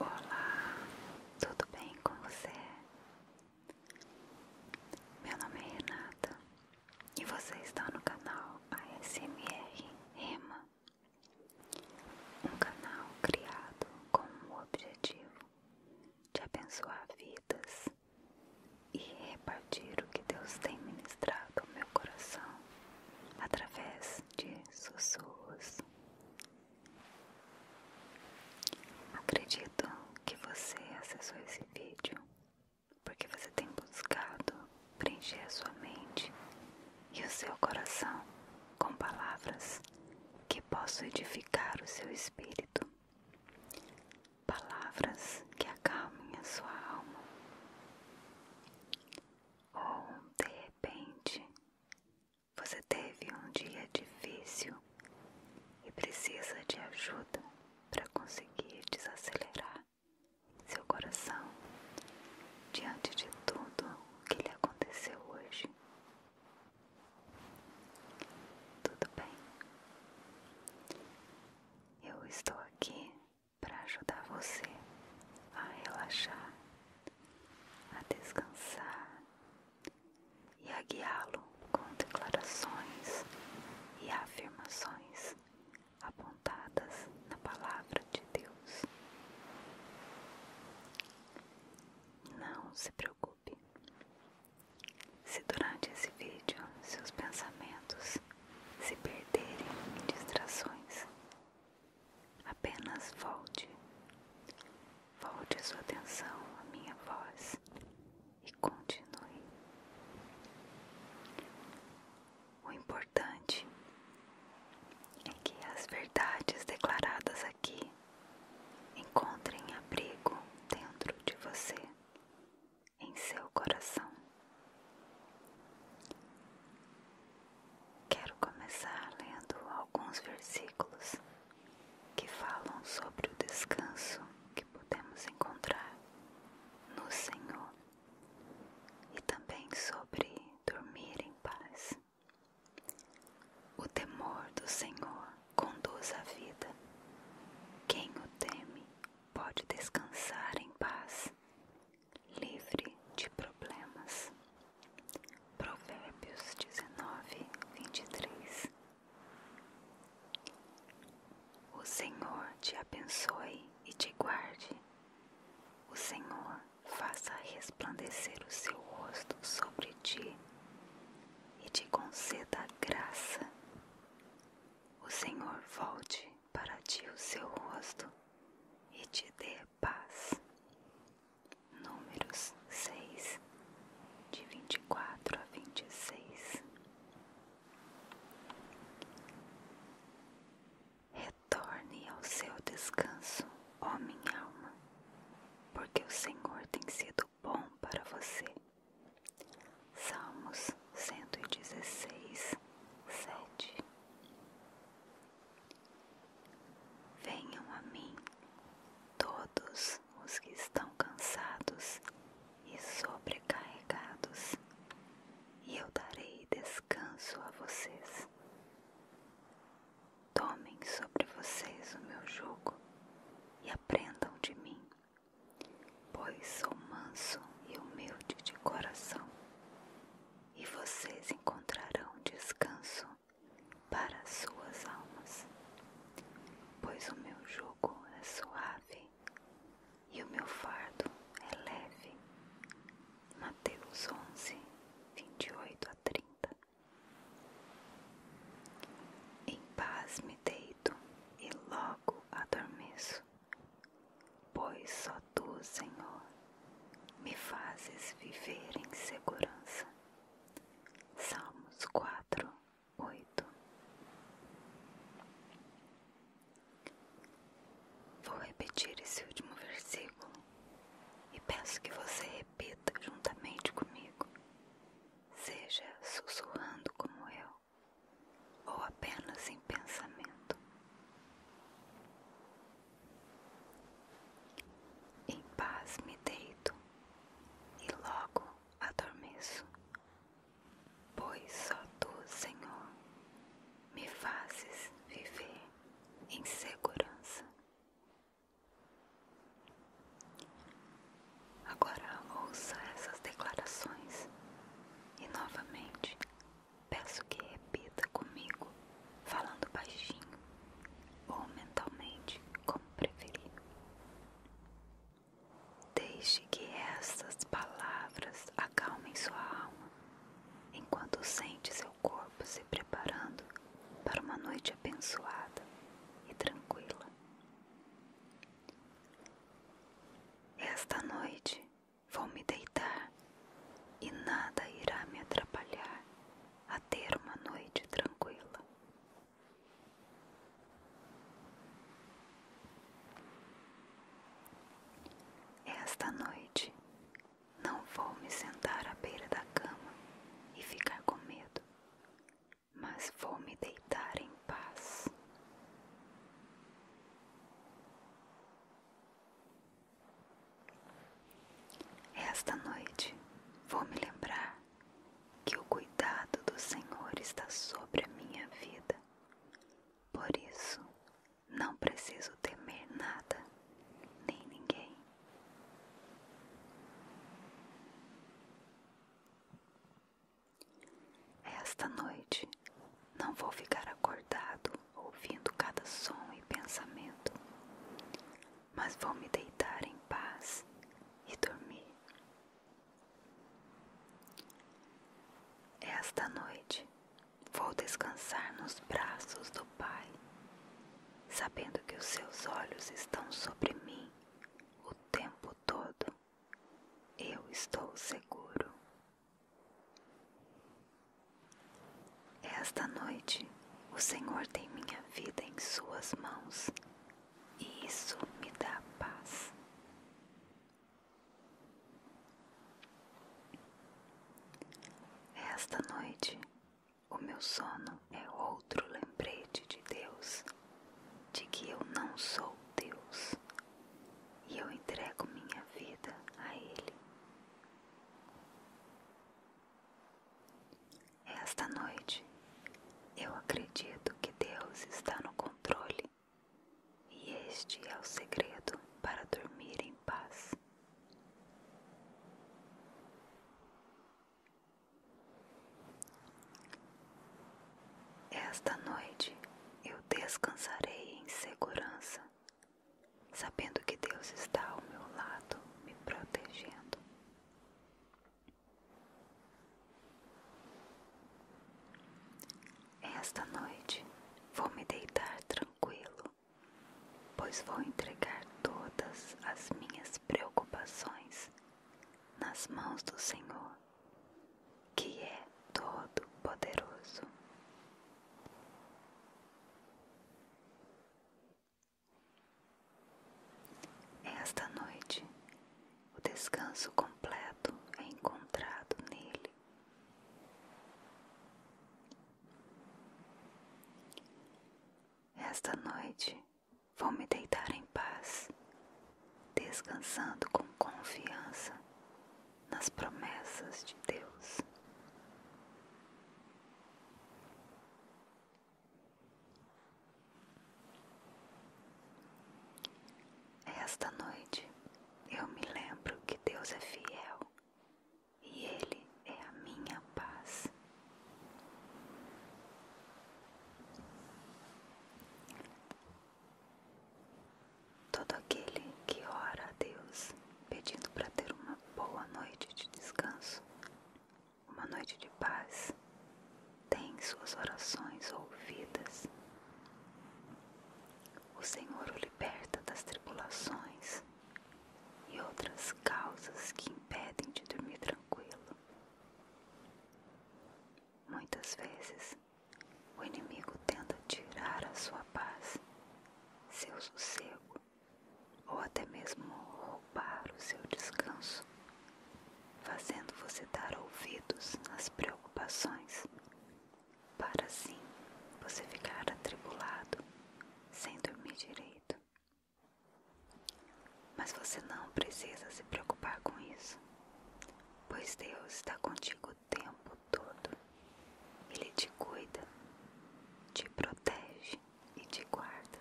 Olá, tudo bem com você? Meu nome é Renata e você está no canal ASMR Rema, um canal criado com o objetivo de abençoar vidas e repartir o que Deus tem ministrado ao meu coração através de sussurros Acredito que você acessou esse vídeo porque você tem buscado preencher a sua mente e o seu coração com palavras que possam edificar o seu espírito, palavras que acalmem a sua alma. Ou de repente você teve um dia difícil e precisa de ajuda para conseguir desacelerar seu coração diante de tudo o que lhe aconteceu hoje. Tudo bem. Eu estou aqui para ajudar você a relaxar a descansar e a guiá-lo com declarações e afirmações apontadas na palavra de Deus. Não se preocupe se durante esse vídeo seus pensamentos se perderem em distrações Apenas volte. Volte sua atenção à minha voz e continue. O importante é que as verdades declaradas aqui encontrem abrigo dentro de você, em seu coração. Quero começar lendo alguns versículos que falam sobre o descanso que podemos encontrar no Senhor e também sobre dormir em paz. O temor do Senhor conduz à vida. Quem o teme pode descansar em paz livre de problemas. Provérbios 19, 23 O Senhor te abençoe e te guarde. O Senhor faça resplandecer o seu rosto sobre ti e te conceda graça. O Senhor volte para ti o seu rosto e te dê paz. Números seis de vinte e quatro a vinte e seis. Retorne ao seu descanso, ó minha alma, porque o Senhor tem sido bom para você. Salmos cento e dezesseis sete. Venham a mim todos os que estão cansados e sobrecarregados, e eu darei descanso a vocês. Tomem sobre vocês o meu jugo e aprendam de mim, pois sou manso e humilde de coração, e vocês encontrarão descanso para suas almas, pois o meu jugo é suave e o meu fardo é leve. Mateus 11, 28 a 30 Em paz me deito e logo adormeço pois só tu, Senhor, me fazes viver em segurança. Salmos 4, 8 Vou repetir esse último versículo e peço que você repita juntamente comigo, seja sussurrando como eu ou apenas em pensamento. Em paz me deito e logo adormeço, pois só tu, Senhor, me fazes viver em segurança. Agora ouça essas declarações e novamente Peço que repita comigo, falando baixinho ou mentalmente, como preferir. Deixe que estas palavras acalmem sua alma, enquanto sente seu corpo se preparando para uma noite abençoada e tranquila. Esta noite Vou me deitar e nada irá me atrapalhar a ter uma noite tranquila. Esta noite não vou me sentar à beira da cama e ficar com medo, mas vou me deitar em paz. Esta noite vou me lembrar que o cuidado do Senhor está sobre a minha vida. Por isso, não preciso temer nada, nem ninguém. Esta noite não vou ficar acordado ouvindo cada som e pensamento, mas vou me deitar em paz e dormir. Esta noite vou descansar nos braços do Pai, sabendo que os seus olhos estão sobre mim o tempo todo. Eu estou seguro. Esta noite o Senhor tem minha vida em Suas mãos e isso me dá paz. Esta noite o meu sono é outro lembrete de Deus, de que eu não sou Deus e eu entrego minha vida a Ele. Esta noite eu acredito que Deus está no controle e este é o segredo para dormir em paz. Esta noite eu descansarei em segurança sabendo que Deus está ao meu lado, me protegendo. Esta noite vou me deitar tranquilo, pois vou entregar todas as minhas preocupações nas mãos do Senhor que é todo-poderoso. Esta noite, o descanso completo é encontrado nele. Esta noite vou me deitar em paz, descansando com confiança nas promessas de Deus. Esta noite eu me lembro que Deus é fiel e Ele é a minha paz. Todo aquele que ora a Deus pedindo para ter uma boa noite de descanso, uma noite de paz, tem suas orações ouvidas. O Senhor o liberta das tribulações e outras causas que impedem de dormir tranquilo. Muitas vezes o inimigo tenta tirar a sua paz, seu sossego, ou até mesmo roubar o seu descanso, fazendo você dar ouvidos às preocupações, para assim você ficar atribulado, sem dormir direito. Mas você não precisa se preocupar com isso, pois Deus está contigo o tempo todo. Ele te cuida, te protege e te guarda.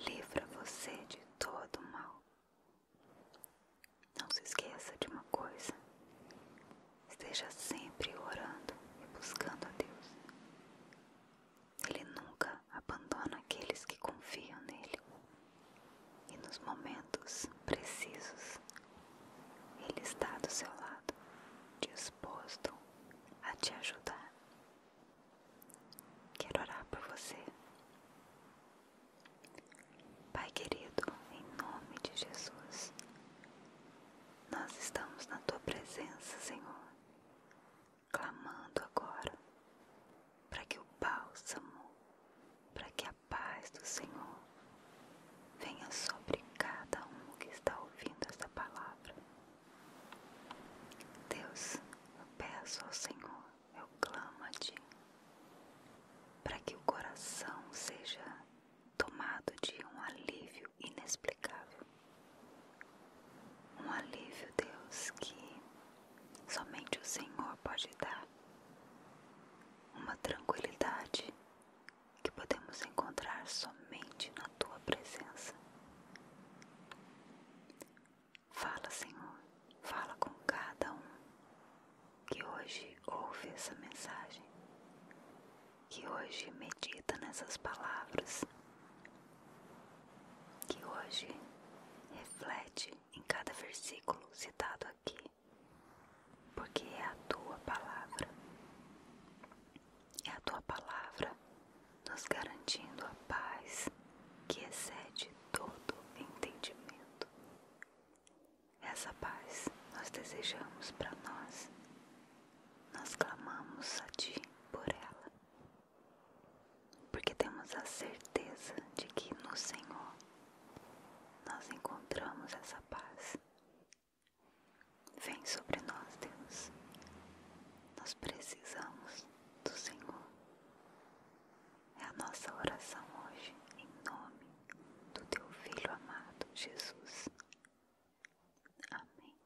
Livra você de todo mal. Não se esqueça de uma coisa: esteja sempre orando e buscando a Deus. Ele nunca abandona aqueles que confiam nele e nos momentos precisos Ele está do seu lado, disposto a te ajudar. Quero orar por você. Pai querido, em nome de Jesus, nós estamos na tua presença, Senhor, clamando agora para que o bálsamo, para que a paz do Senhor venha sobre cada um que está ouvindo esta palavra. Deus, eu peço ao Senhor, eu clamo a Ti, para que o coração seja tomado de um alívio inexplicável. Um alívio, Deus, que somente o Senhor pode dar uma tranquilidade que podemos encontrar somente na tua presença. Fala, Senhor, fala com cada um que hoje ouve essa mensagem, que hoje medita nessas palavras, que hoje reflete em cada versículo citado aqui porque é a tua palavra, é a tua palavra nos garantindo a paz que excede todo entendimento. Essa paz nós desejamos para nós, nós clamamos a Ti por ela, porque temos a certeza de que no Senhor nós encontramos essa paz. Vem sobre nós, Deus. Nós precisamos do Senhor. É a nossa oração hoje, em nome do Teu Filho amado, Jesus. Amém.